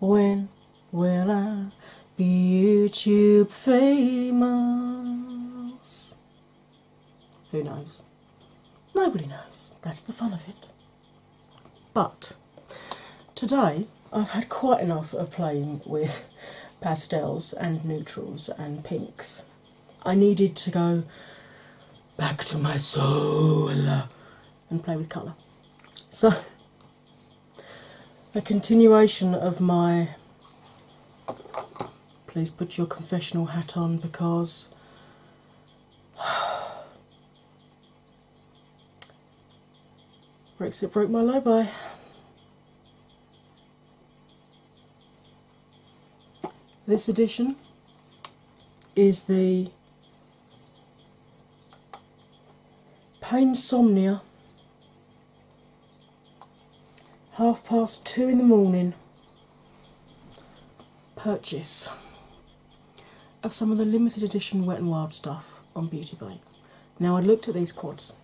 When will I be YouTube famous? Who knows? Nobody knows. That's the fun of it. But today I've had quite enough of playing with pastels and neutrals and pinks. I needed to go back to my soul and play with colour. So a continuation of my please put your confessional hat on because Brexit broke my by. This edition is the Pain, Painsomnia. Half past two in the morning. Purchase of some of the limited edition Wet n Wild stuff on Beauty Now, I looked at these quads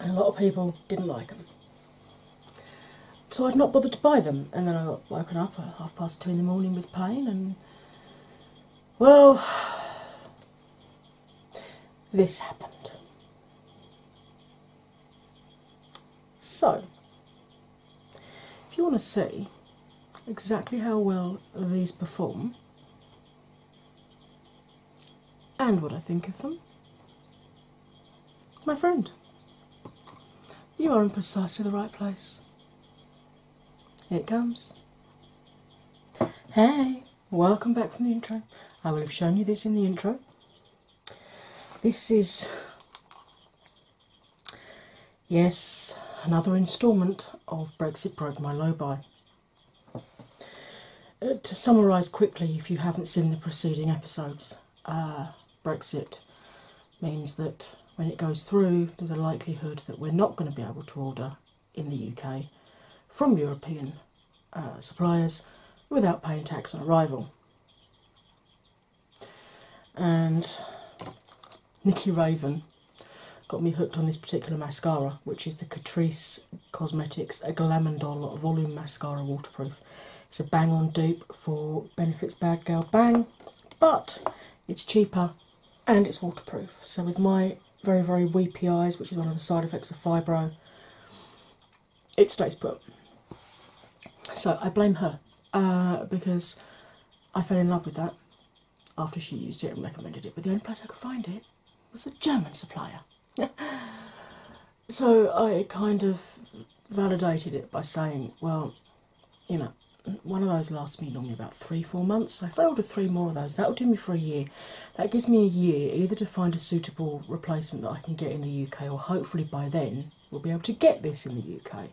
and a lot of people didn't like them. So I'd not bothered to buy them, and then I got woken up at half past two in the morning with pain and well, this happened. So, if you want to see exactly how well these perform and what I think of them, my friend, you are in precisely the right place. Here it comes. Hey, welcome back from the intro. I will have shown you this in the intro. This is, yes, another instalment of Brexit Broke My Low Buy. Uh, to summarise quickly, if you haven't seen the preceding episodes, uh, Brexit means that when it goes through, there's a likelihood that we're not going to be able to order in the UK from European uh, suppliers without paying tax on arrival. And Nikki Raven got me hooked on this particular mascara, which is the Catrice Cosmetics Doll Volume Mascara Waterproof. It's a bang on dupe for Benefits Bad Girl Bang, but it's cheaper and it's waterproof. So, with my very, very weepy eyes, which is one of the side effects of fibro, it stays put. So I blame her uh, because I fell in love with that after she used it and recommended it, but the only place I could find it was a German supplier. so I kind of validated it by saying, well, you know, one of those lasts me normally three, four months. i if I three more of those, that'll do me for a year. That gives me a year either to find a suitable replacement that I can get in the UK, or hopefully by then we'll be able to get this in the UK.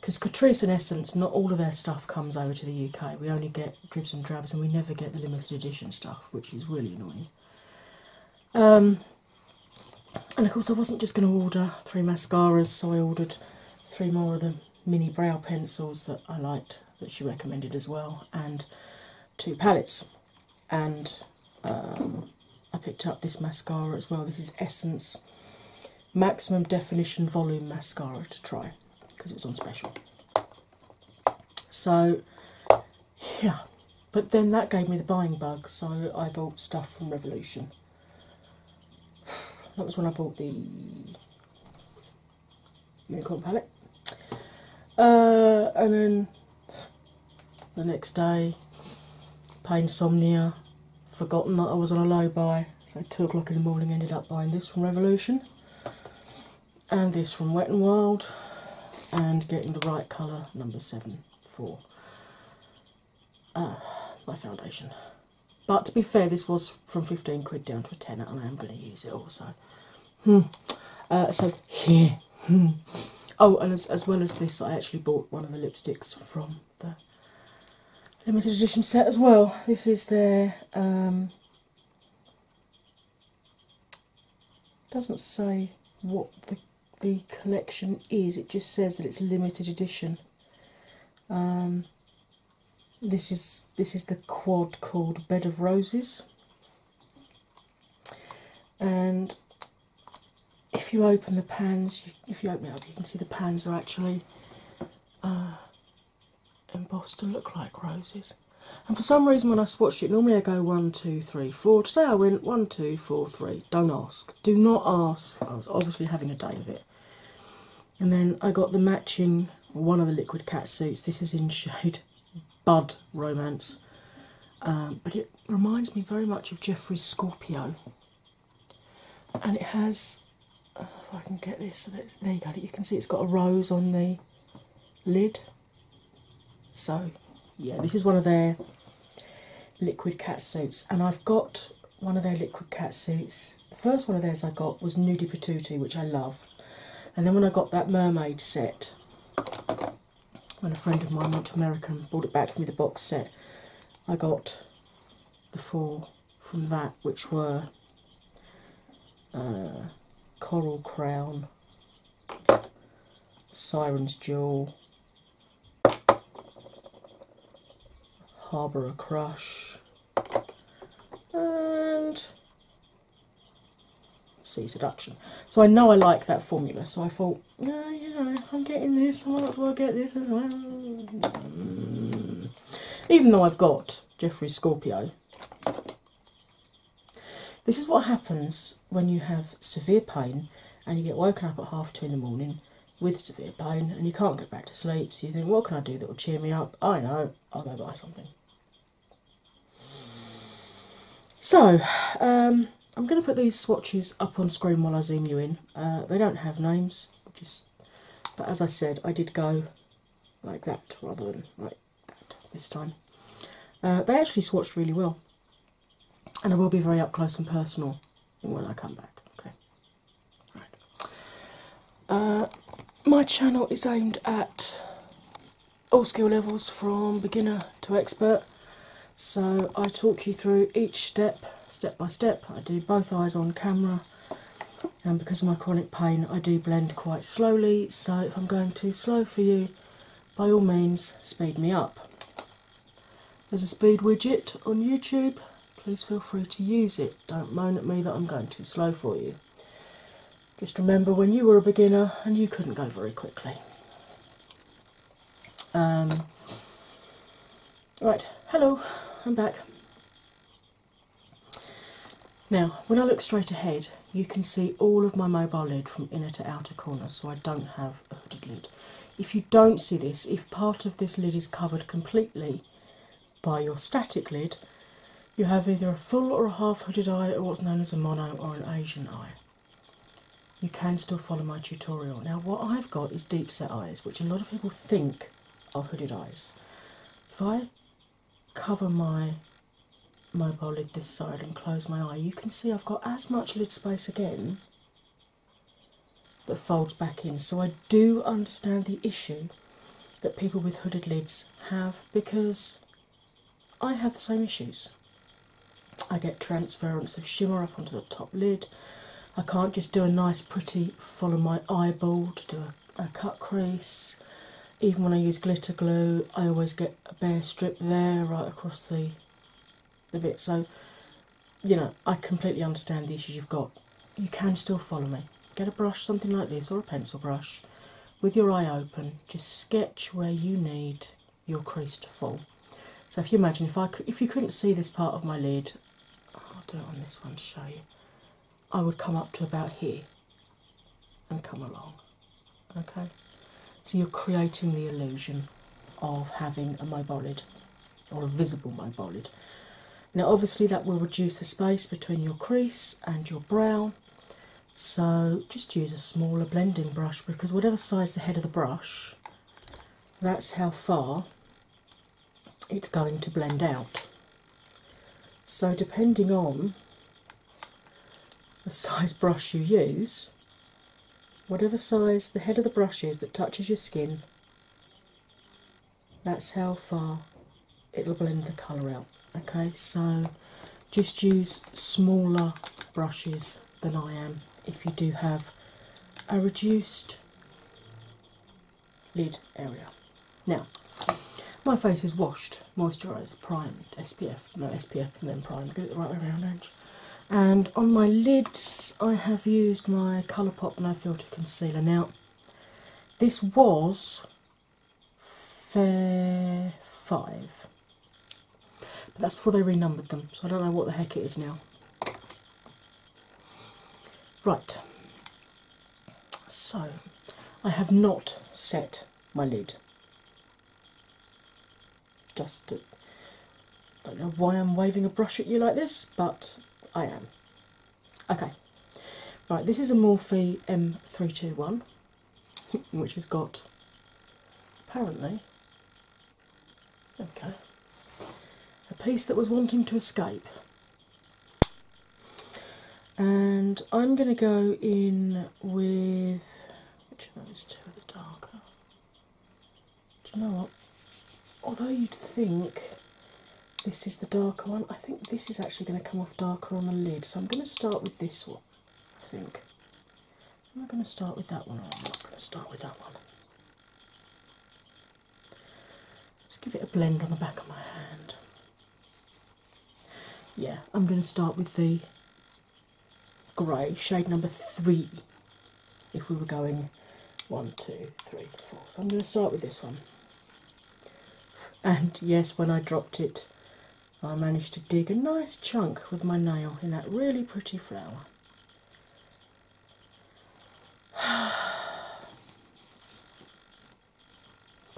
Because Catrice in Essence, not all of their stuff comes over to the UK. We only get dribs and drabs, and we never get the limited edition stuff, which is really annoying. Um, and of course, I wasn't just going to order three mascaras, so I ordered three more of the mini brow pencils that I liked that she recommended as well, and two palettes. And um, I picked up this mascara as well. This is Essence Maximum Definition Volume Mascara to try because it was on special. So, yeah, but then that gave me the buying bug, so I bought stuff from Revolution. That was when I bought the unicorn palette. Uh, and then the next day, pain insomnia, forgotten that I was on a low buy, so two o'clock in the morning ended up buying this from Revolution and this from Wet and Wild and getting the right colour number seven for uh, my foundation. But to be fair, this was from 15 quid down to a tenner, and I am going to use it also. Hmm. Uh, so, here. Hmm. Oh, and as, as well as this, I actually bought one of the lipsticks from the limited edition set as well. This is their. Um, doesn't say what the, the collection is, it just says that it's limited edition. Um, this is this is the quad called Bed of Roses. And if you open the pans, you, if you open it up, you can see the pans are actually uh, embossed to look like roses. And for some reason, when I swatched it, normally I go one, two, three, four. Today I went one, two, four, three. Don't ask. Do not ask. I was obviously having a day of it. And then I got the matching one of the liquid cat suits. This is in shade Bud Romance, um, but it reminds me very much of Jeffrey's Scorpio. And it has, I uh, if I can get this, so there you go. You can see it's got a rose on the lid. So, yeah, this is one of their liquid cat suits, and I've got one of their liquid cat suits the first one of theirs I got was Nudi Patuti, which I loved, And then when I got that mermaid set, when a friend of mine went to America and brought it back for me, the box set, I got the four from that, which were uh, Coral Crown, Siren's Jewel, Harbour a Crush, and C seduction. So I know I like that formula, so I thought, no, you know, I'm getting this, I might as well get this as well. Hmm. Even though I've got Jeffrey Scorpio. This is what happens when you have severe pain and you get woken up at half two in the morning with severe pain and you can't get back to sleep, so you think, what can I do that will cheer me up? I know, I'll go buy something. So, um, I'm going to put these swatches up on screen while I zoom you in. Uh, they don't have names, just but as I said, I did go like that rather than like that this time. Uh, they actually swatched really well, and I will be very up close and personal when I come back. Okay, right. Uh, my channel is aimed at all skill levels from beginner to expert, so I talk you through each step, step by step. I do both eyes on camera, and because of my chronic pain, I do blend quite slowly. So if I'm going too slow for you, by all means, speed me up. There's a speed widget on YouTube. Please feel free to use it. Don't moan at me that I'm going too slow for you. Just remember when you were a beginner and you couldn't go very quickly. Um, right, hello, I'm back. Now, when I look straight ahead, you can see all of my mobile lid from inner to outer corner, so I don't have a hooded lid. If you don't see this, if part of this lid is covered completely, by your static lid, you have either a full or a half hooded eye, or what's known as a mono or an Asian eye. You can still follow my tutorial. Now, what I've got is deep set eyes, which a lot of people think are hooded eyes. If I cover my mobile lid this side and close my eye, you can see I've got as much lid space again that folds back in. So, I do understand the issue that people with hooded lids have because I have the same issues. I get transference of shimmer up onto the top lid. I can't just do a nice, pretty follow my eyeball to do a, cut crease. Even when I use glitter glue, I always get a bare strip there right across the the bit. So, you know, I completely understand the issues you've got. You can still follow me. Get a brush, something like this, or a pencil brush, with your eye open, just sketch where you need your crease to fall. So if you imagine if I if you couldn't see this part of my lid, I'll do it on this one to show you. I would come up to about here and come along. Okay, so you're creating the illusion of having a mobile lid or a visible mobile lid. Now, obviously, that will reduce the space between your crease and your brow, so just use a smaller blending brush because whatever size the head of the brush, that's how far it's going to blend out. So depending on the size brush you use, whatever size the head of the brush is that touches your skin, that's how far it'll blend the colour out. Okay, so just use smaller brushes than I am if you do have a reduced lid area. Now, my face is washed, moisturised, primed, SPF, no SPF and then primed, get it the right way around, Ange. And on my lids, I have used my Colourpop No Filter Concealer. Now, this was fair five. But that's before they renumbered them, so I don't know what the heck it is now. Right, so I have not set my lid. Just don't know why I'm waving a brush at you like this, but I am. Okay, right, this is a Morphe M321 which has got apparently there a piece that was wanting to escape. And I'm going to go in with which of those two are darker? Do you know what? Although you'd think this is the darker one, I think this is actually going to come off darker on the lid. So I'm going to start with this one. I think. i Am I going to start with that one i am not going to start with that one? Just give it a blend on the back of my hand. Yeah, I'm going to start with the grey, shade number three, if we were going one, two, three, four. So I'm going to start with this one. And yes, when I dropped it I managed to dig a nice chunk with my nail in that really pretty flower.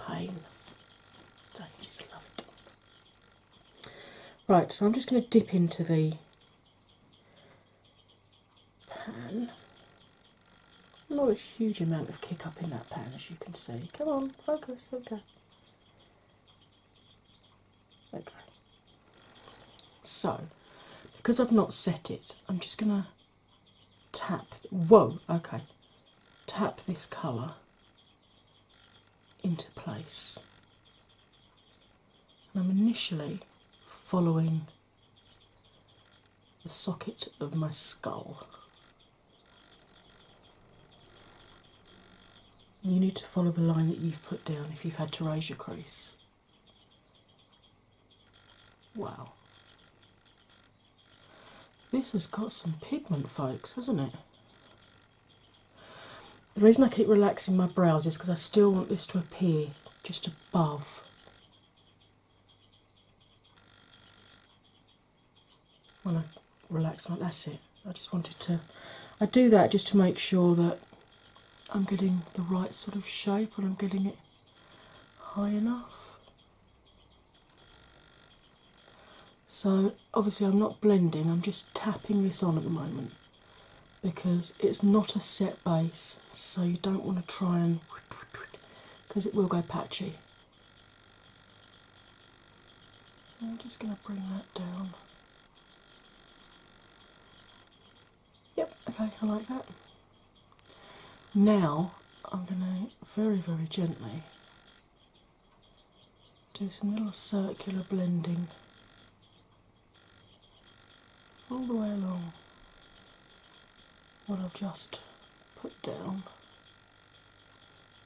Pain. I just love it. Right, so I'm just going to dip into the pan. Not a huge amount of kick up in that pan, as you can see. Come on, focus, okay. Okay. So, because I've not set it, I'm just going to tap. Whoa, okay. Tap this colour into place. And I'm initially following the socket of my skull. You need to follow the line that you've put down if you've had to raise your crease. Wow. This has got some pigment, folks, hasn't it? The reason I keep relaxing my brows is because I still want this to appear just above when I relax like that's it. I just wanted to I do that just to make sure that I'm getting the right sort of shape and I'm getting it high enough. So obviously I'm not blending, I'm just tapping this on at the moment because it's not a set base, so you don't want to try and because it will go patchy. I'm just going to bring that down. Yep, okay, I like that. Now I'm going to very, very gently do some little circular blending all the way along what I've just put down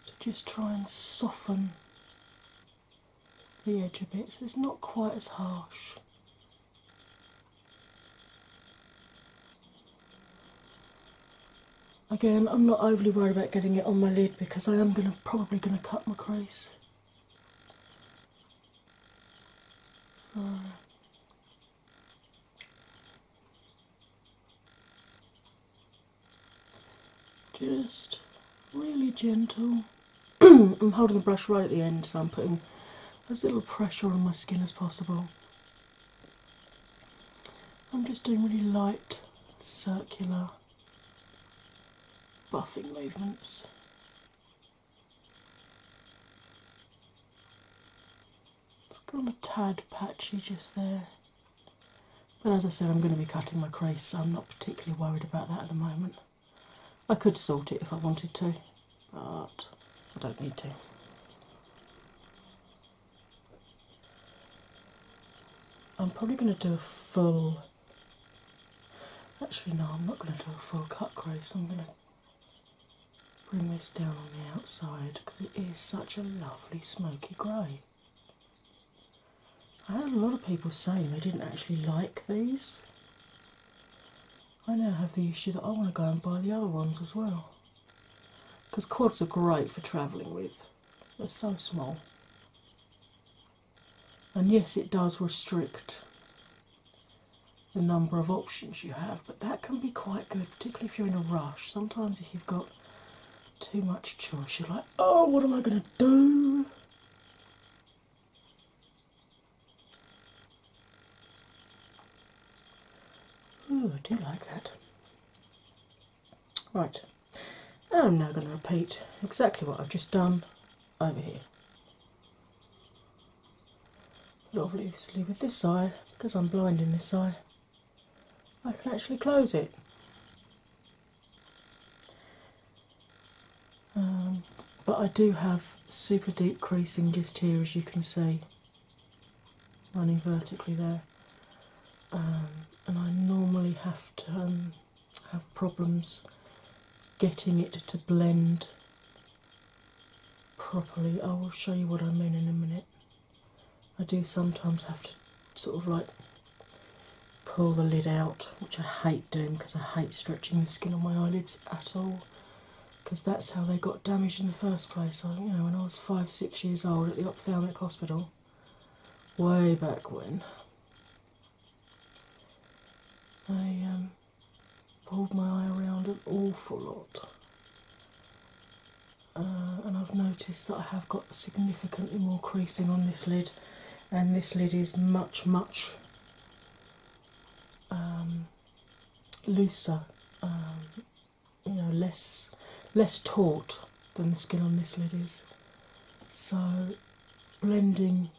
to just try and soften the edge a bit so it's not quite as harsh. Again, I'm not overly worried about getting it on my lid because I am going to probably going to cut my crease just really gentle. I'm holding the brush right at the end, so I'm putting as little pressure on my skin as possible. I'm just doing really light, circular buffing movements. It's gone a tad patchy just there. But as I said, I'm going to be cutting my crease, I'm not particularly worried about that at the moment. I could sort it if I wanted to, but I don't need to. I'm probably going to do a full. Actually, no, I'm not going to do a full cut crease. I'm going to bring this down on the outside because it is such a lovely smoky grey. I had a lot of people saying they didn't actually like these. I now have the issue that I want to go and buy the other ones as well. Because cords are great for travelling with, they're so small. And yes, it does restrict the number of options you have, but that can be quite good, particularly if you're in a rush. Sometimes, if you've got too much choice, you're like, oh, what am I going to do? Ooh, I do like that. Right, I'm now going to repeat exactly what I've just done over here. But obviously, with this eye, because I'm blind in this eye, I can actually close it. Um, but I do have super deep creasing just here, as you can see, running vertically there. Um, and I normally have to um, have problems getting it to blend properly. I will show you what I mean in a minute. I do sometimes have to sort of like pull the lid out, which I hate doing because I hate stretching the skin on my eyelids at all. Because that's how they got damaged in the first place. I, you know, when I was five, six years old at the ophthalmic hospital, way back when, I um, pulled my eye around an awful lot, uh, and I've noticed that I have got significantly more creasing on this lid, and this lid is much, much um, looser, um, you know, less less taut than the skin on this lid is. So blending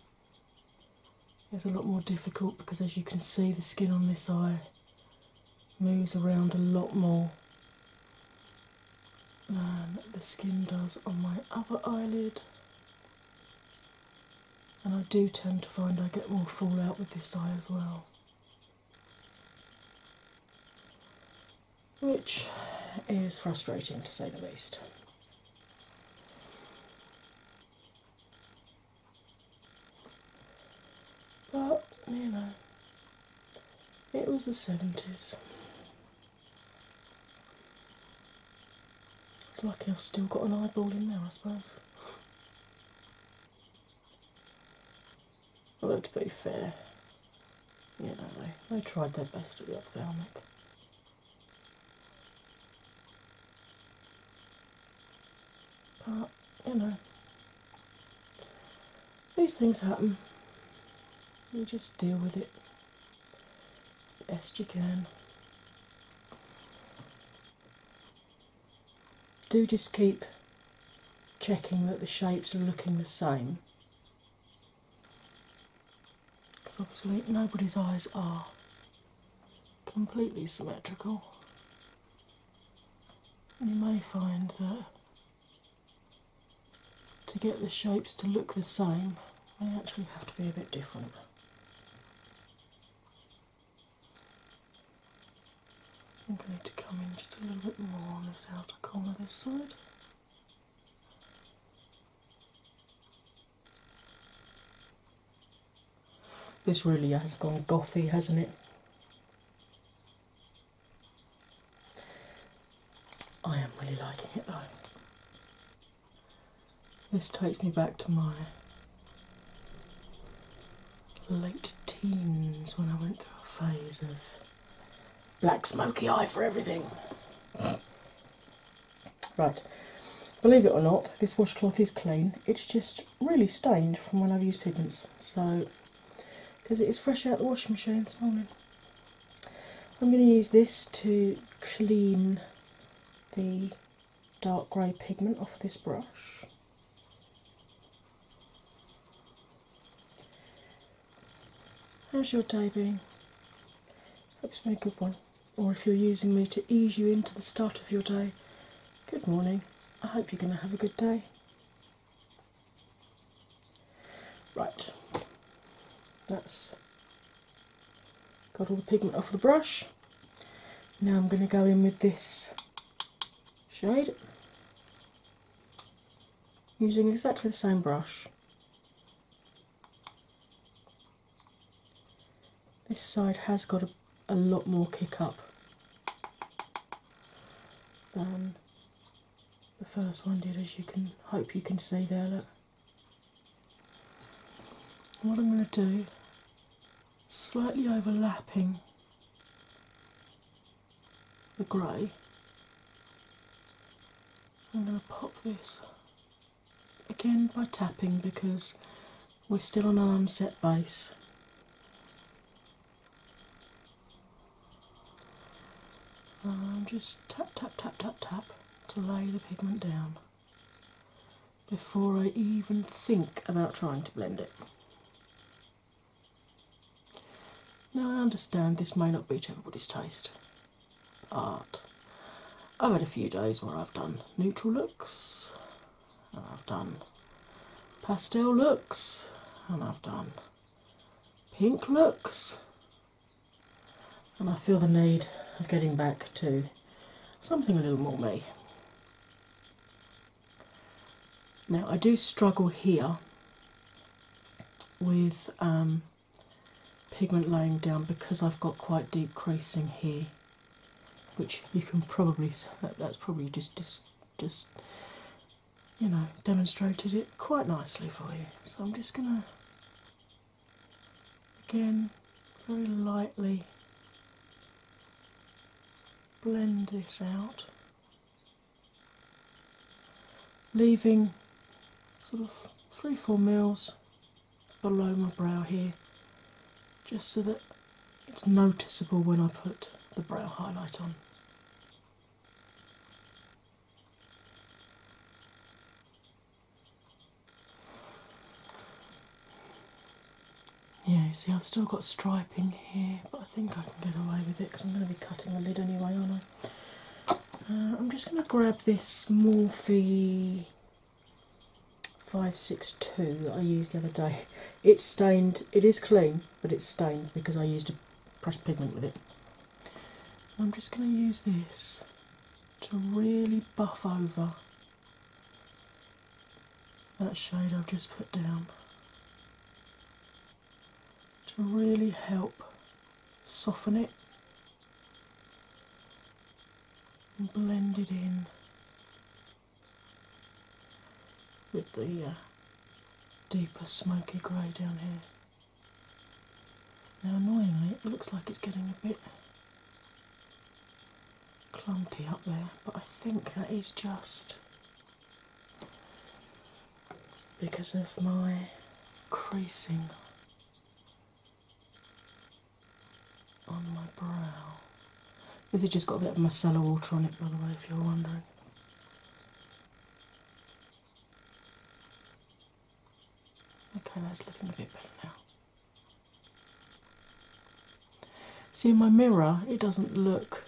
is a lot more difficult because, as you can see, the skin on this eye moves around a lot more than the skin does on my other eyelid, and I do tend to find I get more fallout with this eye as well. Which is frustrating to say the least. But, you know, it was the 70s. It's lucky I've still got an eyeball in there, I suppose. Although, to be fair, you know, they, tried their best to be ophthalmic. But, you know, these things happen. You just deal with it best you can. Do just keep checking that the shapes are looking the same because obviously nobody's eyes are completely symmetrical. You may find that to get the shapes to look the same, they actually have to be a bit different. I'm going to come in just a little bit more on this outer corner this side. This really has gone gothy, hasn't it? I am really liking it This takes me back to my late teens when I went through a phase of black smoky eye for everything. right, believe it or not, this washcloth is clean. It's just really stained from when I've used pigments. So, because it is fresh out the washing machine this morning. I'm going to use this to clean the dark grey pigment off this brush. How's your day been? Hope it's been a good one. Or if you're using me to ease you into the start of your day, good morning. I hope you're going to have a good day. Right, that's got all the pigment off the brush. Now I'm going to go in with this shade using exactly the same brush. This side has got a, lot more kick up than the first one did, as you can hope you can see there what I'm going to do, slightly overlapping the grey, I'm going to pop this again by tapping because we're still on an set base. just tap, tap, tap, tap, tap to lay the pigment down before I even think about trying to blend it. Now, I understand this may not be to everybody's taste, but I've had a few days where I've done neutral looks, and I've done pastel looks, and I've done pink looks, and I feel the need of getting back to something a little more me. Now, I do struggle here with um, pigment laying down because I've got quite deep creasing here, which you can probably that, that's probably just just just you know demonstrated it quite nicely for you. So I'm just gonna Again, very lightly blend this out, leaving sort of three, four mils below my brow here, just so that it's noticeable when I put the brow highlight on. Yeah, see, I've still got striping here, but I think I can get away with it because I'm going to be cutting the lid anyway, aren't I? Uh, I'm just going to grab this Morphe 562 that I used the other day. It's stained, it is clean, but it's stained because I used a pressed pigment with it. I'm just going to use this to really buff over that shade I've just put down to really help soften it and blend it in with the uh, deeper smoky grey down here. Now, annoyingly, it looks like it's getting a bit clumpy up there, but I think that is just because of my creasing on my brow. This has just got a bit of micellar water on it, by the way, if you're wondering. Okay, that's looking a bit better now. See, in my mirror, it doesn't look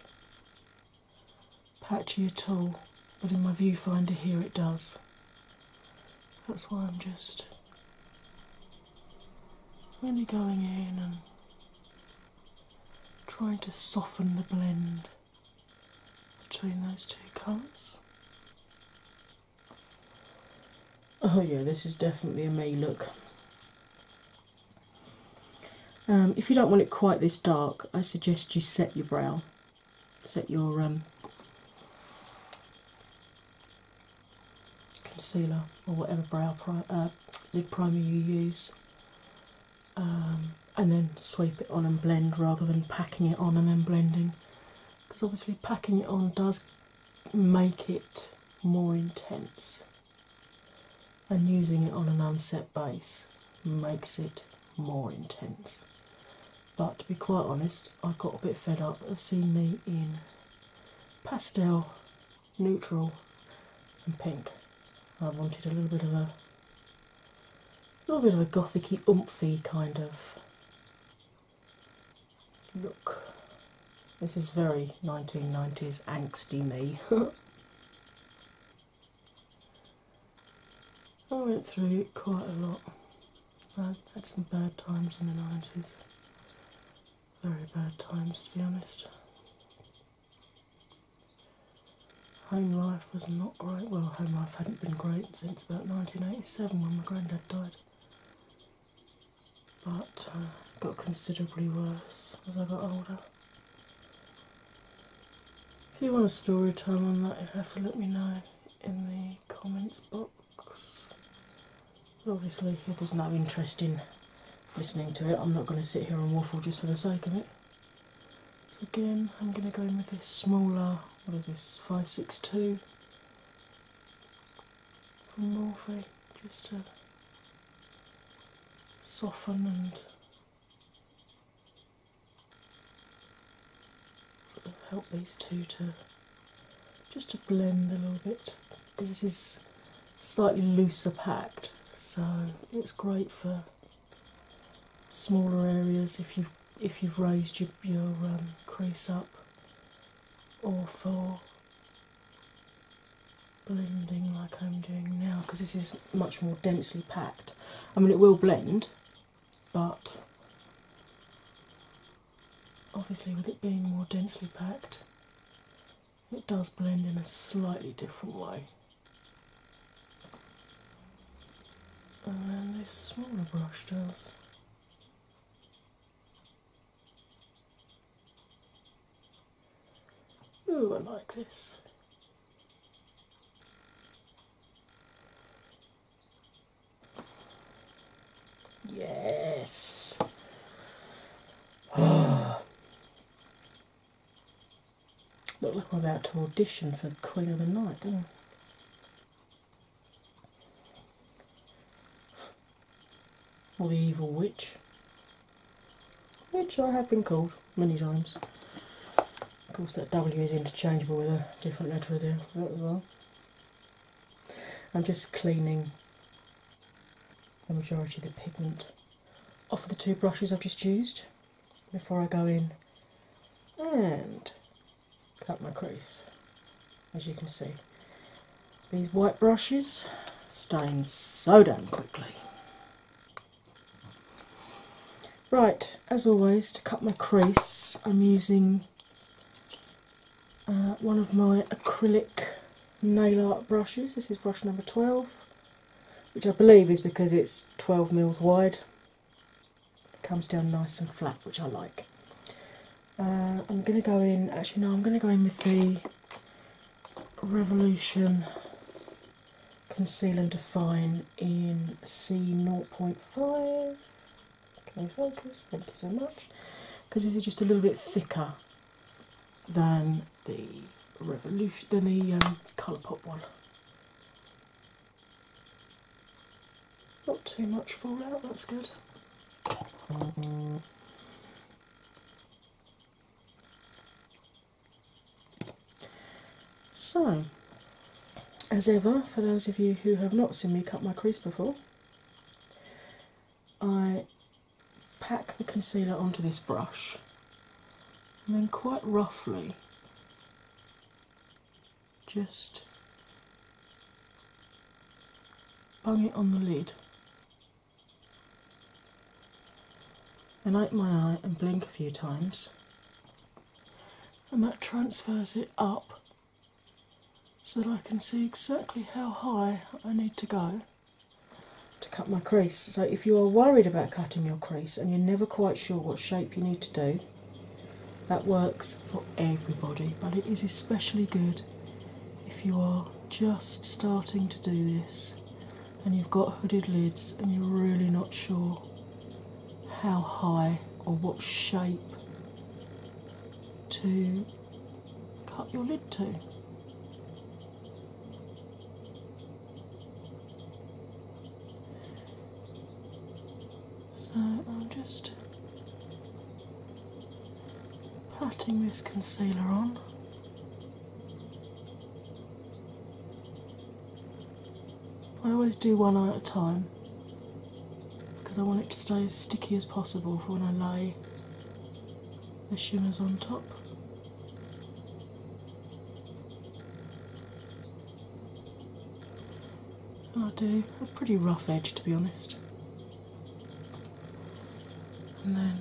patchy at all, but in my viewfinder here, it does. That's why I'm just really going in and trying to soften the blend between those two colours. Oh, yeah, this is definitely a May look. Um, if you don't want it quite this dark, I suggest you set your brow, set your um, concealer or whatever brow pri uh, lid primer you use, um, and then sweep it on and blend rather than packing it on and then blending. Because obviously, packing it on does make it more intense, and using it on an unset base makes it more intense. But to be quite honest, I got a bit fed up of seeing me in pastel, neutral, and pink. I wanted a little bit of a little bit of a gothicy, oomphy kind of Look, this is very 1990s angsty me. I went through quite a lot. I had some bad times in the 90s. Very bad times, to be honest. Home life was not great. Well, home life hadn't been great since about 1987 when my granddad died but uh, got considerably worse as I got older. If you want a story time on that, you have to let me know in the comments box. obviously, if there's no interest in listening to it, I'm not going to sit here and waffle just for the sake of it. So, again, I'm going to go in with this smaller, what is this, 562 from Morphe just to soften and sort of help these two to just to blend a little bit because this is slightly looser packed so it's great for smaller areas if you've if you've raised your, your um, crease up or for blending like I'm doing now because this is much more densely packed. I mean, it will blend, but obviously, with it being more densely packed, it does blend in a slightly different way. And then this smaller brush does. Ooh, I like this. Yes. Oh. Look like I'm about to audition for the Queen of the Night, don't I? or the evil witch, which I have been called many times. Of course, that W is interchangeable with a different letter there as well. I'm just cleaning the majority of the pigment off of the two brushes I've just used before I go in and cut my crease as you can see. These white brushes stain so damn quickly. Right, as always, to cut my crease, I'm using uh, one of my acrylic nail art brushes. This is brush number 12, which I believe is because it's 12 mils wide. It comes down nice and flat, which I like. Uh, I'm gonna go in. Actually, no, I'm gonna go in with the Revolution Conceal and Define in C 0.5. Can you focus? Thank you so much. Because this is just a little bit thicker than the Revolution, than the um, Colourpop one. Not too much fallout, that's good. So, as ever, for those of you who have not seen me cut my crease before, I pack the concealer onto this brush and then quite roughly just Bang it on the lid. Then open my eye and blink a few times, and that transfers it up so that I can see exactly how high I need to go to cut my crease. So, if you are worried about cutting your crease and you're never quite sure what shape you need to do, that works for everybody, but it is especially good if you are just starting to do this and you've got hooded lids and you're really not sure how high or what shape to cut your lid to. So I'm just Putting this concealer on. I always do one eye at a time because I want it to stay as sticky as possible for when I lay the shimmers on top. And I do a pretty rough edge to be honest and then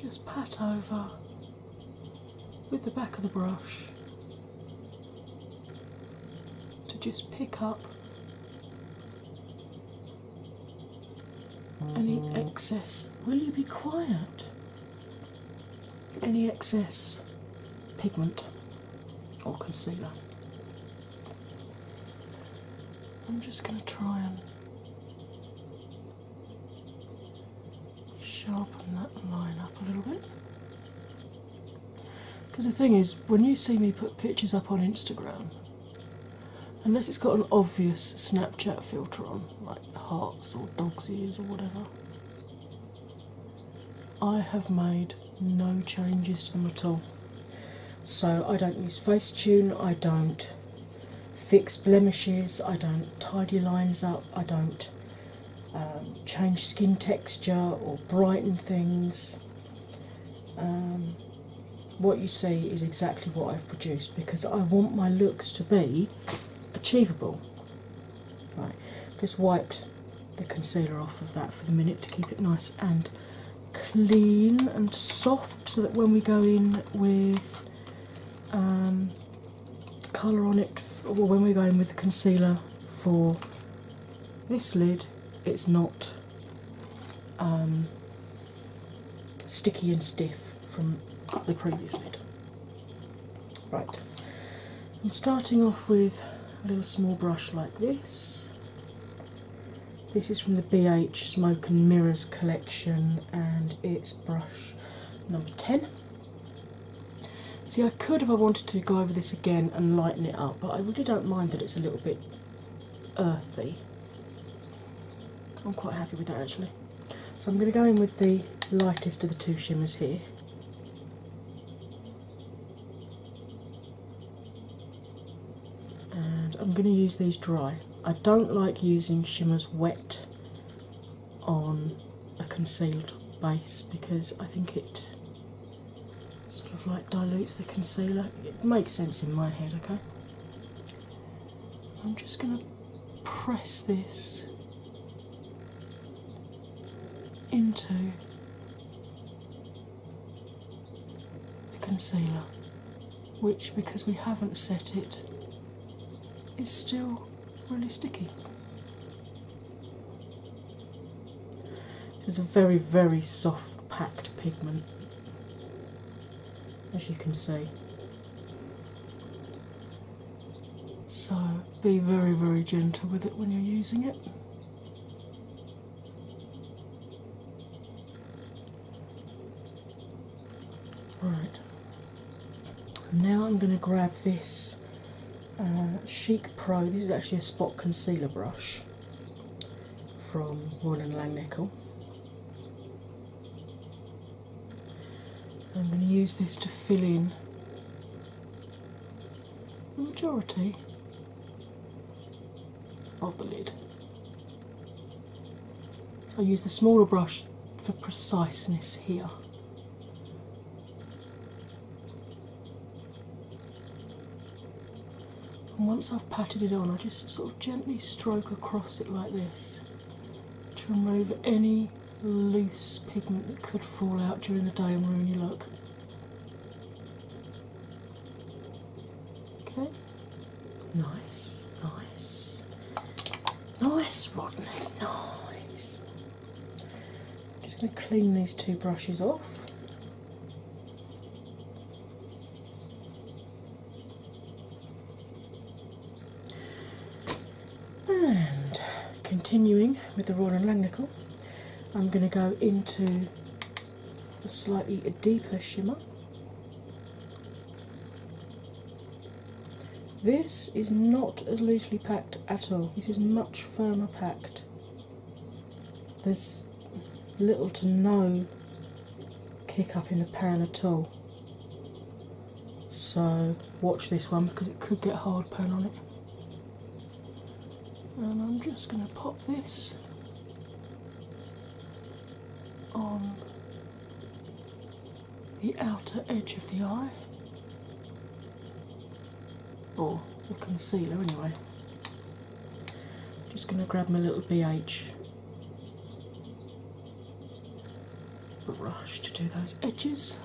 just pat over with the back of the brush to just pick up any mm-hmm. excess. Will you be quiet? Any excess pigment or concealer. I'm just going to try and sharpen that line up a little bit. Because the thing is, when you see me put pictures up on Instagram, unless it's got an obvious Snapchat filter on, like hearts or dog's ears or whatever, I have made no changes to them at all. So I don't use Facetune, I don't fix blemishes, I don't tidy lines up, I don't um, change skin texture or brighten things. Um, what you see is exactly what I've produced because I want my looks to be achievable. Right, just wiped the concealer off of that for the minute to keep it nice and clean and soft so that when we go in with um, colour on it, or when we go in with the concealer for this lid, it's not um, sticky and stiff from the previous lid. Right, I'm starting off with a little small brush like this. This is from the BH Smoke and Mirrors collection and it's brush number 10. See, I could, if I wanted to, go over this again and lighten it up, but I really don't mind that it's a little bit earthy. I'm quite happy with that actually. So I'm going to go in with the lightest of the two shimmers here and I'm going to use these dry. I don't like using shimmers wet on a concealed base because I think it sort of like dilutes the concealer. It makes sense in my head, okay? I'm just going to press this into the concealer, which, because we haven't set it, is still really sticky. It is a very, very soft, packed pigment, as you can see. So, be very, very gentle with it when you're using it. Right, now I'm going to grab this uh, Chic Pro. This is actually a spot concealer brush from Royal Langnickel. I'm going to use this to fill in the majority of the lid. So I use the smaller brush for preciseness here. And once I've patted it on, I just sort of gently stroke across it like this to remove any loose pigment that could fall out during the day and ruin your look. Okay. Nice, nice, nice, Rodney, nice. just going to clean these two brushes off. And continuing with the Royal and Langnickel, I'm going to go into a slightly deeper shimmer. This is not as loosely packed at all, this is much firmer packed. There's little to no kick up in the pan at all. So, watch this one because it could get hard pan on it. And I'm just going to pop this on the outer edge of the eye, or the concealer anyway. Just going to grab my little BH brush to do those edges.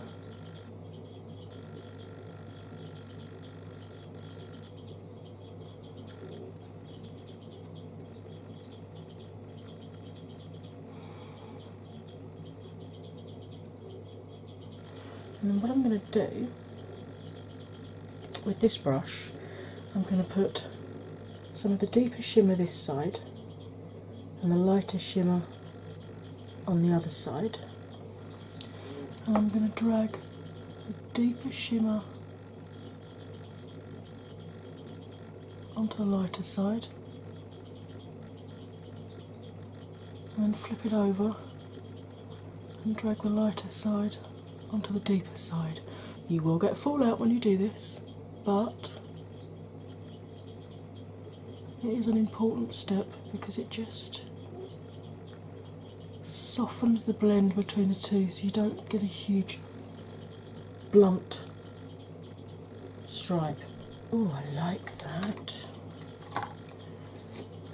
And then what I'm going to do with this brush, I'm going to put some of the deeper shimmer this side and the lighter shimmer on the other side. And I'm going to drag the deeper shimmer onto the lighter side and then flip it over and drag the lighter side onto the deeper side. You will get fallout when you do this, but it is an important step because it just softens the blend between the two so you don't get a huge blunt stripe. Oh, I like that.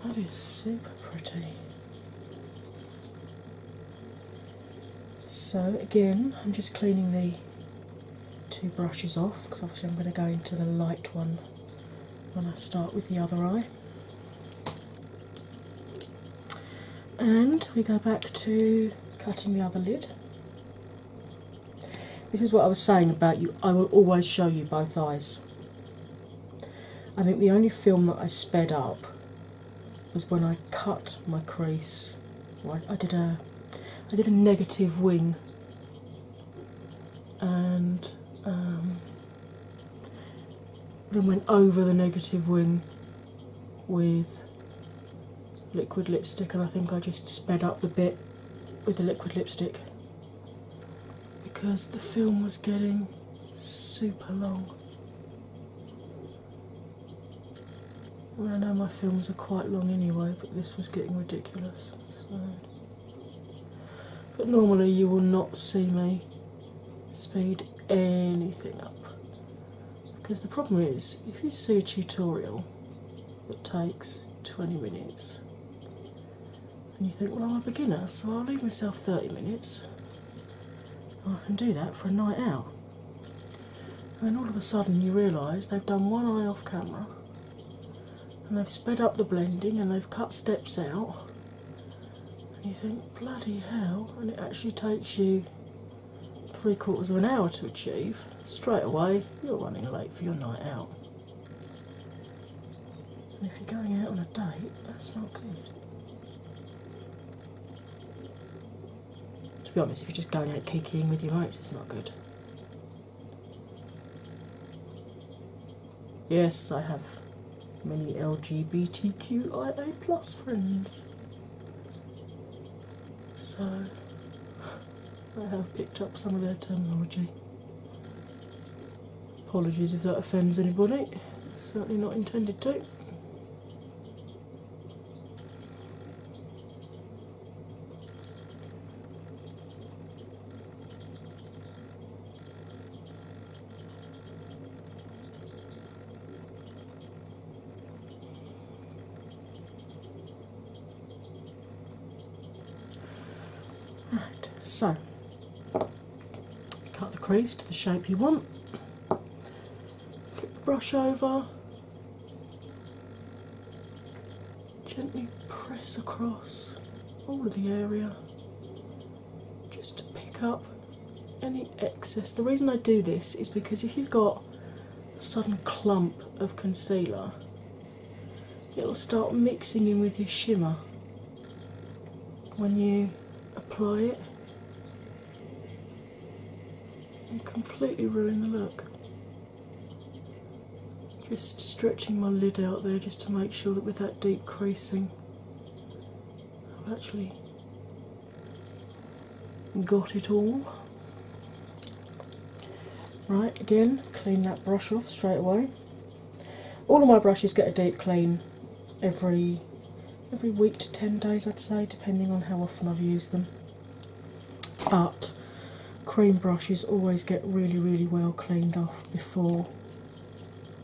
That is super pretty. So, again, I'm just cleaning the two brushes off because obviously I'm going to go into the light one when I start with the other eye. And we go back to cutting the other lid. This is what I was saying about you, I will always show you both eyes. I think the only film that I sped up was when I cut my crease. I, did a I did a negative wing and um, then went over the negative wing with liquid lipstick, and I think I just sped up the bit with the liquid lipstick because the film was getting super long. I know my films are quite long anyway, but this was getting ridiculous. But normally, you will not see me speed anything up. Because the problem is, if you see a tutorial that takes 20 minutes, and you think, well, I'm a beginner, so I'll leave myself 30 minutes, I can do that for a night out. then all of a sudden you realise they've done one eye off camera and they've sped up the blending and they've cut steps out, and you think, bloody hell, and it actually takes you three quarters of an hour to achieve, straight away you're running late for your night out. And if you're going out on a date, that's not good. To be honest, if you're just going out kikiing with your mates, it's not good. Yes, I have many LGBTQIA plus friends. So I have picked up some of their terminology. Apologies if that offends anybody, certainly not intended to. Right, so cut the crease to the shape you want, flip the brush over, gently press across all of the area just to pick up any excess. The reason I do this is because if you've got a sudden clump of concealer, it'll start mixing in with your shimmer when you apply it and completely ruin the look. Just stretching my lid out there just to make sure that with that deep creasing I've actually Got it all. Right, again, clean that brush off straight away. All of my brushes get a deep clean every every week to 10 days I'd say depending on how often I've used them. But cream brushes always get really really well cleaned off before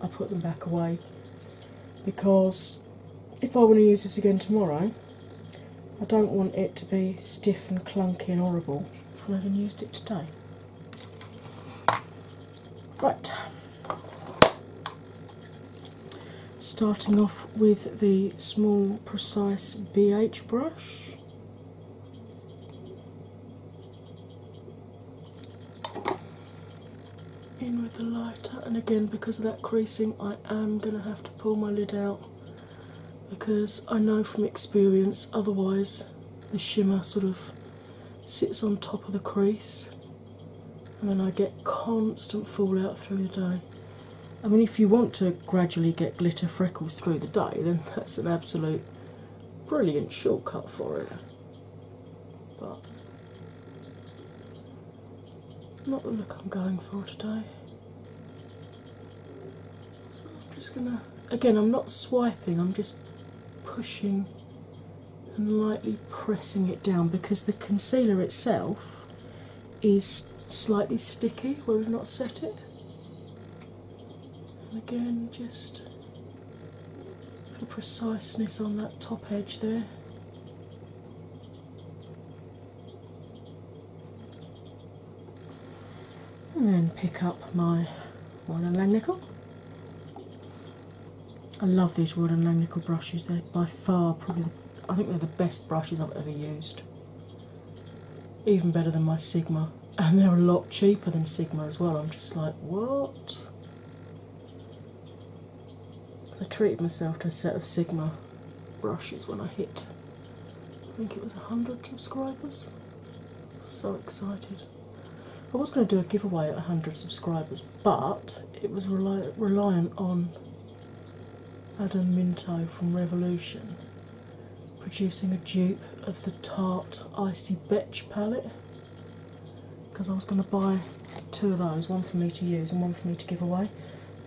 I put them back away because if I want to use this again tomorrow, I don't want it to be stiff and clunky and horrible I haven't used it today. Right, starting off with the small, precise BH brush in with the lighter, and again, because of that creasing, I am going to have to pull my lid out because I know from experience, otherwise, the shimmer sort of sits on top of the crease, and then I get constant fallout through the day. I mean, if you want to gradually get glitter freckles through the day, then that's an absolute brilliant shortcut for it. But not the look I'm going for today. I'm just gonna, again, I'm not swiping, I'm just pushing and lightly pressing it down because the concealer itself is slightly sticky where we've not set it. And again, just for preciseness on that top edge there and then pick up my Royal and Lang Nickel. I love these Royal and Nickel brushes. They're by far probably I think they're the best brushes I've ever used. Even better than my Sigma, and they're a lot cheaper than Sigma as well. I'm just like, what? because I treated myself to a set of Sigma brushes when I hit, I think it was 100 subscribers. So excited. I was going to do a giveaway at 100 subscribers, but it was reliant on Adam Minto from Revolution producing a dupe of the Tart Icy Betch palette because I was going to buy two of those, one for me to use and one for me to give away.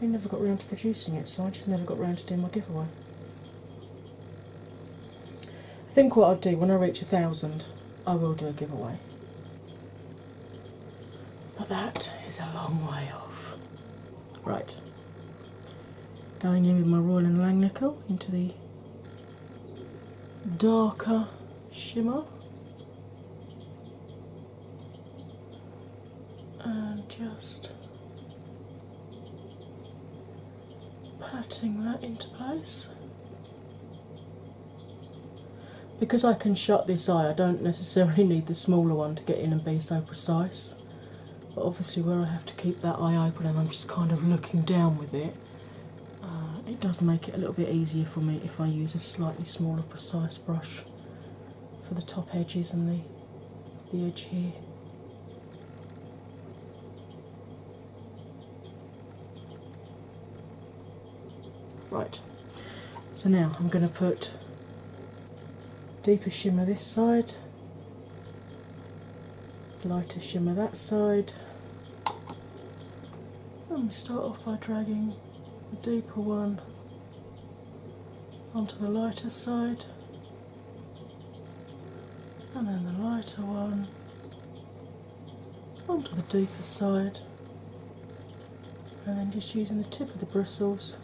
I never got round to producing it, so I just never got round to doing my giveaway. I think what I'll do when I reach a thousand, I will do a giveaway. But that is a long way off. Right. Going in with my Royal and langnickel into the darker shimmer and just patting that into place. Because I can shut this eye, I don't necessarily need the smaller one to get in and be so precise. But obviously, where I have to keep that eye open and I'm just kind of looking down with it, uh, it does make it a little bit easier for me if I use a slightly smaller, precise brush for the top edges and the the edge here. Right, so now I'm going to put deeper shimmer this side, lighter shimmer that side. And we start off by dragging the deeper one onto the lighter side, and then the lighter one onto the deeper side, and then just using the tip of the bristles,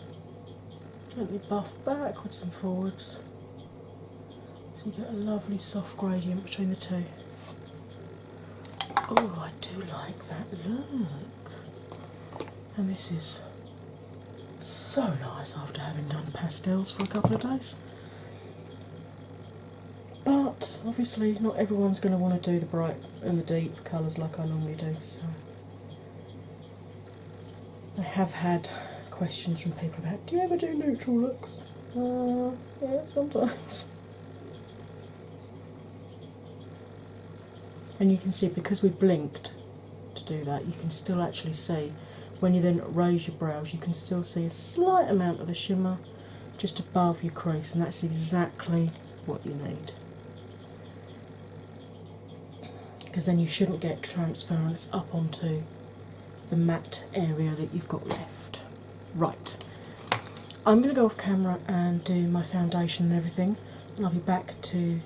gently buff backwards and forwards so you get a lovely soft gradient between the two. Oh, I do like that look and this is so nice after having done pastels for a couple of days. But obviously, not everyone's going to want to do the bright and the deep colours like I normally do, so I have had questions from people about do you ever do neutral looks? Uh, yeah, sometimes. And you can see because we blinked, to do that, you can still actually see when you then raise your brows, you can still see a slight amount of the shimmer just above your crease, and that's exactly what you need. Because then you shouldn't get transference up onto the matte area that you've got left. Right, I'm going to go off camera and do my foundation and everything, and I'll be back to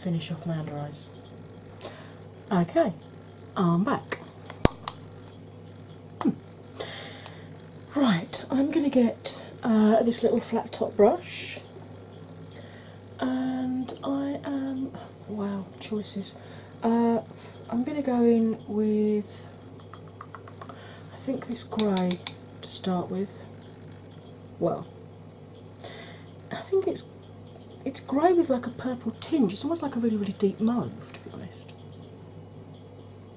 finish off my under eyes. Okay, I'm back. Hmm. Right, I'm going to get uh, this little flat top brush, and I am wow choices. Uh, I'm going to go in with I think this grey to start with. Well, I think it's it's grey with like a purple tinge. It's almost like a really really deep mauve, to be honest,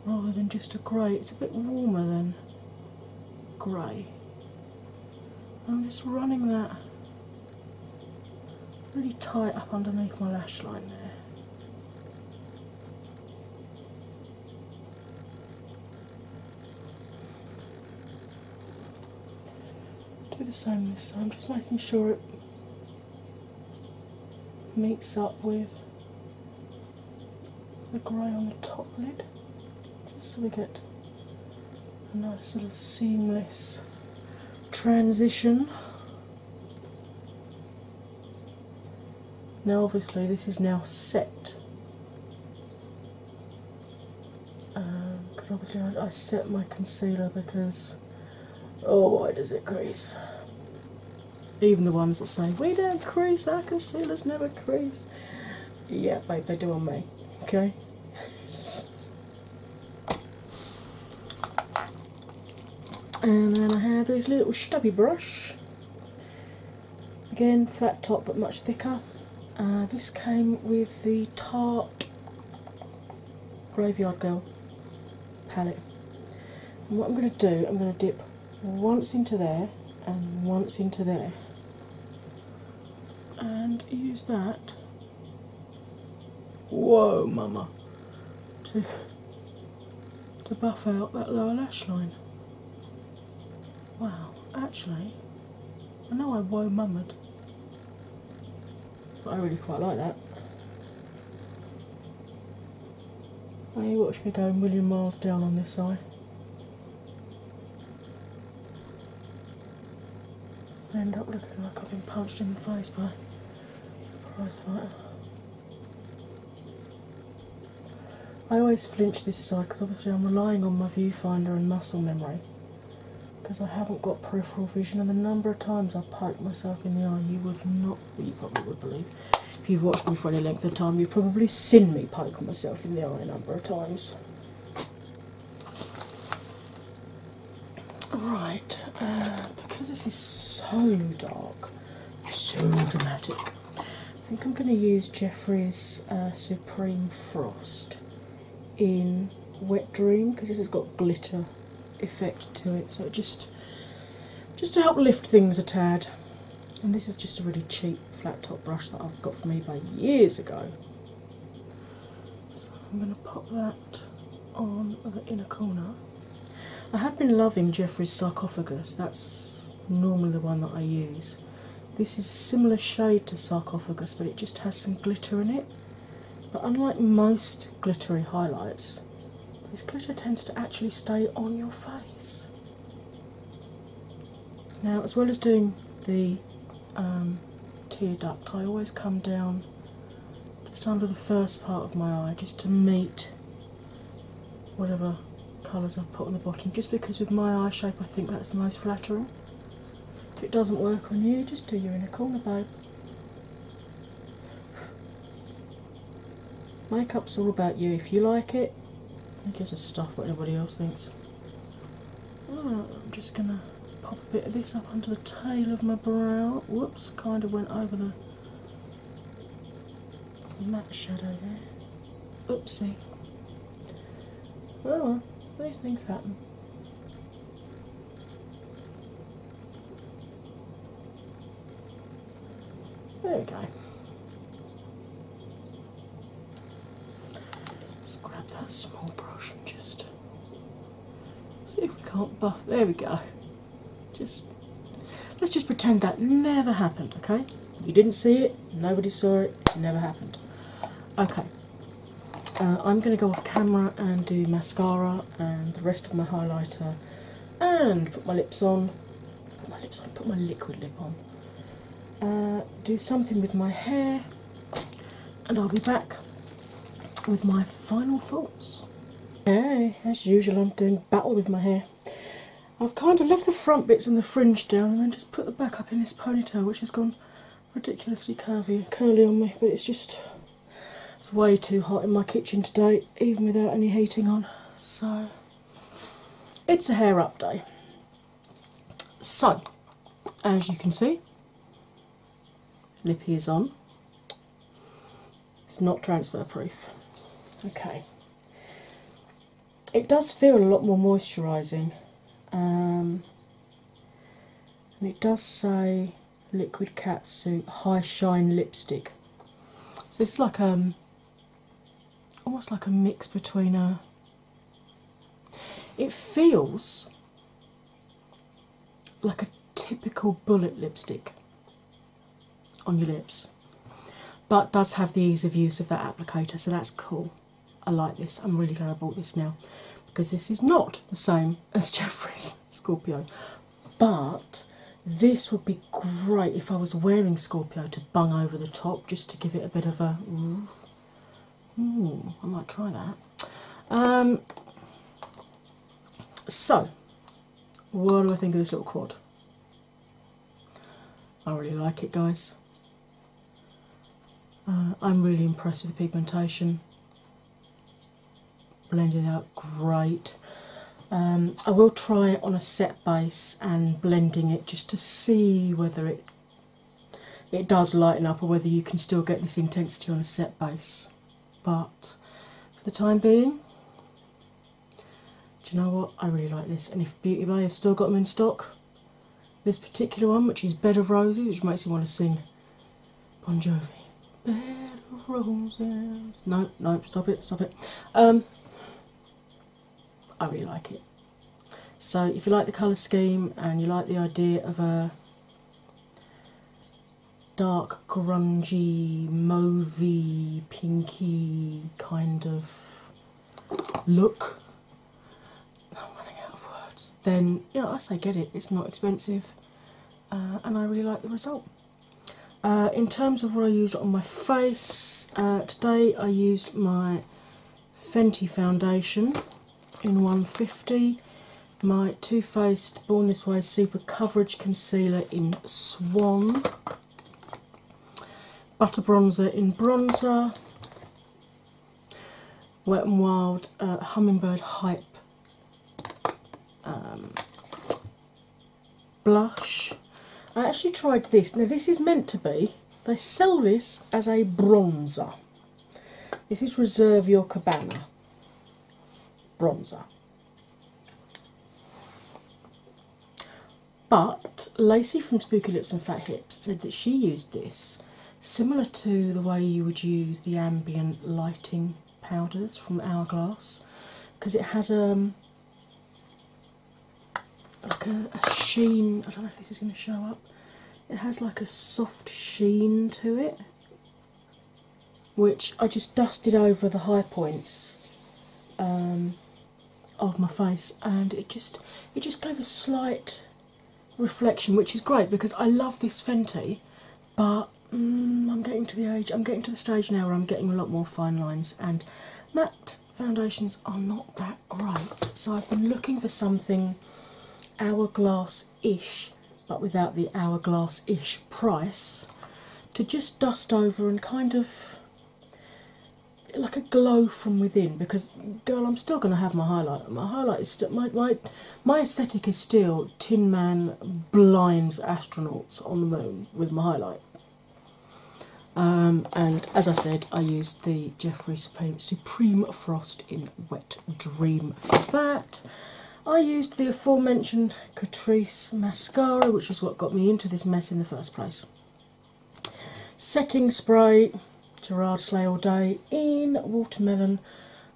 rather than just a grey. It's a bit warmer than grey. I'm just running that really tight up underneath my lash line there. Do the same this am just making sure it meets up with the grey on the top lid, just so we get a nice little seamless transition. Now, obviously, this is now set because obviously I, I set my concealer because oh why does it crease? Even the ones that say we don't crease, our concealers never crease. Yeah, babe, they do on me. Okay. and then I have this little stubby brush. Again, flat top but much thicker. Uh, this came with the Tarte Graveyard Girl palette. what I'm going to do, I'm going to dip once into there and once into there and use that. Whoa, mama! To, to buff out that lower lash line. Wow, actually, I know I woe mummered, but I really quite like that. Now you watch me going million miles down on this side. I end up looking like I've been punched in the face by a prize fighter. I always flinch this side because obviously I'm relying on my viewfinder and muscle memory because I haven't got peripheral vision, and the number of times I've poked myself in the eye, you would not, you probably would believe. If you've watched me for any length of time, you've probably seen me poke myself in the eye a number of times. Right, uh, because this is so dark, so dramatic, I think I'm going to use Jeffrey's uh, Supreme Frost in Wet Dream because this has got glitter effect to it, so just just to help lift things a tad. And this is just a really cheap flat top brush that I've got from eBay years ago. So I'm going to pop that on the inner corner. I have been loving Jeffrey's sarcophagus. That's normally the one that I use. This is similar shade to sarcophagus, but it just has some glitter in it. But unlike most glittery highlights, this glitter tends to actually stay on your face. Now, as well as doing the um, tear duct, I always come down just under the first part of my eye just to meet whatever colours I've put on the bottom, just because with my eye shape I think that's the most flattering. If it doesn't work on you, just do your inner corner, babe. Makeup's all about you. If you like it, do who gives the stuff what anybody else thinks? I'm just gonna pop a bit of this up under the tail of my brow. Whoops, kind of went over the matte shadow there. Oopsie. Well, these things happen. There we go. Let's grab that small brush and just see if we can't buff. There we go. Just let's just pretend that never happened, okay? You didn't see it, nobody saw it, never happened. Okay, uh, I'm going to go off camera and do mascara and the rest of my highlighter and put my lips on. Put my lips on, put my liquid lip on. Uh, do something with my hair and I'll be back with my final thoughts. Okay, as usual, I'm doing battle with my hair. I've kind of left the front bits and the fringe down and then just put the back up in this ponytail which has gone ridiculously curvy and curly on me, but it's just it's way too hot in my kitchen today, even without any heating on. So it's a hair up day. So, as you can see, lippy is on. It's not transfer proof. Okay. It does feel a lot more moisturising. Um, and it does say liquid Cat Suit high shine lipstick so it's like um almost like a mix between a it feels like a typical bullet lipstick on your lips but does have the ease of use of that applicator so that's cool I like this. I'm really glad I bought this now because this is not the same as Jeffrey's Scorpio. But this would be great if I was wearing Scorpio to bung over the top just to give it a bit of a. Hmm, I might try that. Um, so, what do I think of this little quad? I really like it, guys. Uh, I'm really impressed with the pigmentation. Blended out great. Um, I will try it on a set base and blending it just to see whether it it does lighten up or whether you can still get this intensity on a set base. But for the time being, do you know what? I really like this, and if Beauty Bay have still got them in stock, this particular one, which is Bed of Roses, which makes you want to sing Bon Jovi. Bed of Roses. No, no, stop it, stop it. Um, I really like it. So, if you like the colour scheme and you like the idea of a dark, grungy, mauvey, pinky kind of look, then you know I say get it. It's not expensive, uh, and I really like the result. Uh, in terms of what I used on my face uh, today, I used my Fenty foundation in 150, my Too Faced Born This Way Super Coverage Concealer in Swan, Butter Bronzer in Bronzer, Wet and Wild uh, Hummingbird Hype um, blush. I actually tried this. Now, this is meant to be, they sell this as a bronzer. This is Reserve Your Cabana bronzer. But Lacey from Spooky Lips and Fat Hips said that she used this similar to the way you would use the ambient lighting powders from Hourglass because it has um, like a, sheen. I don't know if this is going to show up. It has like a soft sheen to it, which I just dusted over the high points. Um, of my face and it just it just gave a slight reflection, which is great because I love this Fenty, but mm, I'm getting to the age, I'm getting to the stage now where I'm getting a lot more fine lines, and matte foundations are not that great. So I've been looking for something hourglass ish, but without the hourglass ish price, to just dust over and kind of like a glow from within because girl i'm still going to have my highlight my highlight is still my, my my aesthetic is still Tin Man blinds astronauts on the moon with my highlight. Um, and as I said, I used the Jeffrey Supreme Frost in Wet Dream for that. I used the aforementioned Catrice mascara, which was what got me into this mess in the first place. Setting spray, Gerard Slay All Day in Watermelon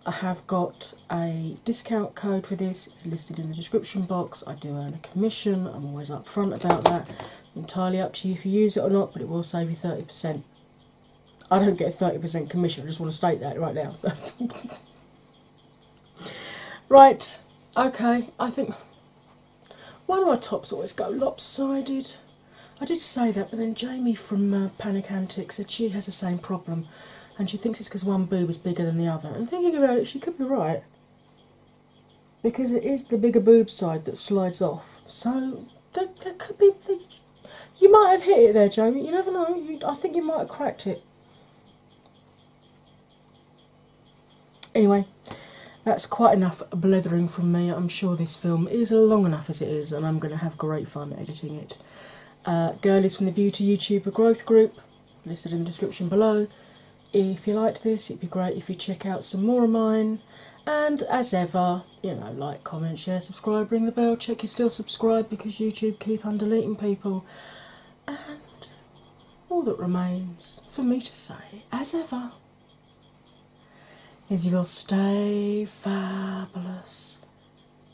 I have got a discount code for this, it's listed in the description box. I do earn a commission, I'm always upfront about that. Entirely up to you if you use it or not, but it will save you 30%. I don't get 30% commission, I just want to state that right now. right, okay, I think why do my tops always go lopsided? I did say that, but then Jamie from uh, Panic Antics said she has the same problem and she thinks it's because one boob is bigger than the other. And thinking about it, she could be right because it is the bigger boob side that slides off. So that could be. you might have hit it there, Jamie. You never know. I think you might have cracked it. Anyway, that's quite enough blithering from me. I'm sure this film is long enough as it is, and I'm going to have great fun editing it. Uh, Girlies from the Beauty YouTuber Growth Group, listed in the description below. If you liked this, it'd be great if you check out some more of mine. And as ever, you know, like, comment, share, subscribe, ring the bell, check you're still subscribed because YouTube keep on deleting people. And all that remains for me to say, as ever, is you will stay fabulous